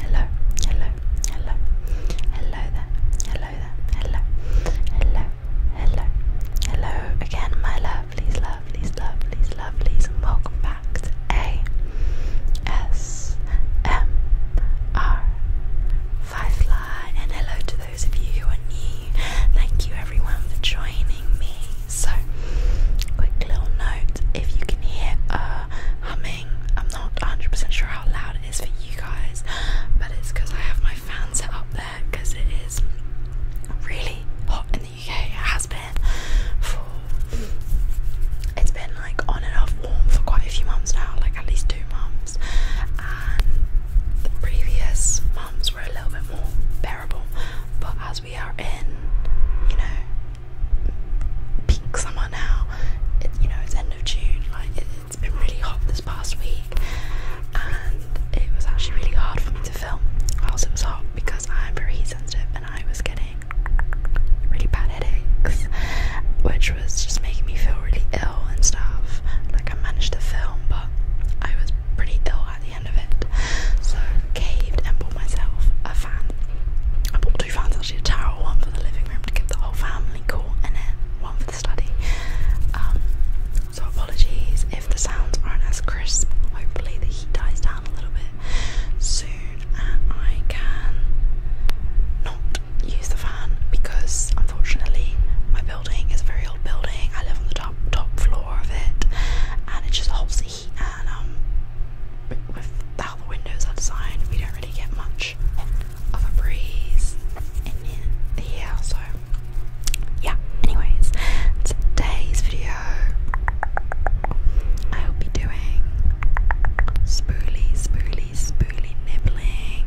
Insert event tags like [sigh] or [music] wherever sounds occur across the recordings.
Hello, hello, hello, hello there, hello there, hello, hello, hello, hello again, my lovelies, lovelies, lovelies, lovelies, and welcome back to S M R Firefly, and hello to those of you who are new. Thank you everyone for joining me. So, quick little note if you can hear uh, humming, I'm not 100% sure how loud it is for you guys, but it's because I have my fan set up there because it is really hot in the UK. It has been it's been like on and off warm for quite a few months now, like at least two months. And the previous months were a little bit more bearable, but as we are in, you know, peak summer now, it, you know, it's end of June, like it, has been really hot this past week, and it was actually really hard for me to film whilst it was hot because I'm very heat sensitive and I was getting really bad headaches, which was just making me feel really ill and stuff. Like, I managed to film, but I was pretty ill at the end of it. So, caved and bought myself a fan. I bought two fans actually a towel, one for the living room to give the whole family cool in it, one for the study. Um, so, apologies if the sounds aren't as crisp. Hopefully, the heat dies down a little bit soon and I can not use the fan because unfortunately my building is a very old building. I live on the top top floor of it and it just holds the heat and um with the windows are we don't really get much of a breeze in here so yeah anyways today's video I hope doing spooly, spooly, spooly nibbling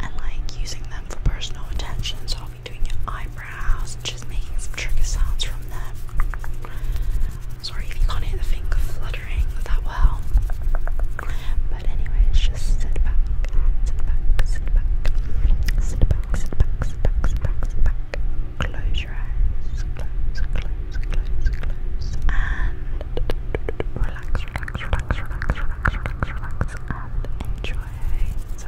and like using them for personal attention. So I'll be doing your eyebrows just making some trigger sounds from them. Sorry if you can't hear the finger fluttering that well. But anyways, just sit back, sit back, sit back, sit back, sit back, sit back, sit back. Close your eyes, close, close, close, close, and relax, relax, relax, relax, relax, relax, relax, and enjoy. So,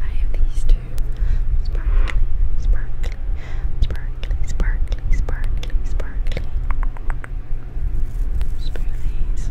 I have these two sparkly, sparkly, sparkly, sparkly, sparkly, sparkly spoonies.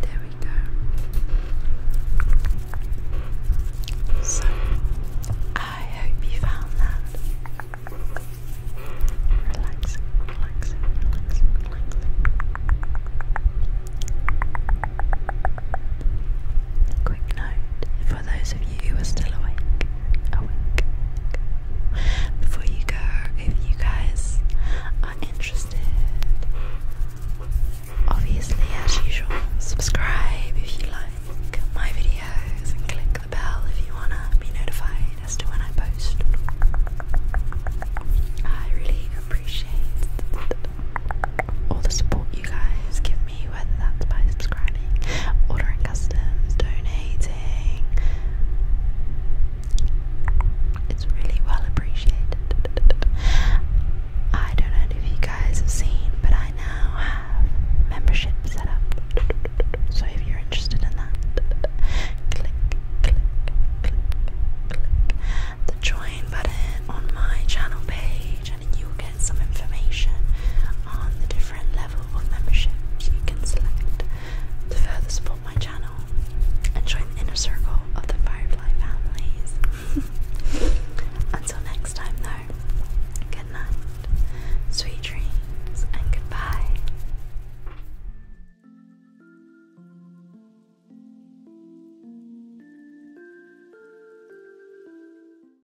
There we go. So, I hope you found that relaxing, relaxing, relaxing, relaxing. Quick note for those of you who are still awake, awake. Before you go, if you guys are interested, obviously, as usual, subscribe if you like my videos and click the bell if you wanna be notified as to when I post. I really appreciate all the support you guys give whether that's by subscribing, ordering customs, donating. It's really well appreciated. I don't know if you guys have seen, but I now have membership set up. So if you're interested in that, click, click, click, click the join button on my channel page page and you'll get some information on the different level of memberships you can select to further support my channel and join the inner circle of the Firefly families. [laughs] Until next time though, good night, sweet dreams, and goodbye.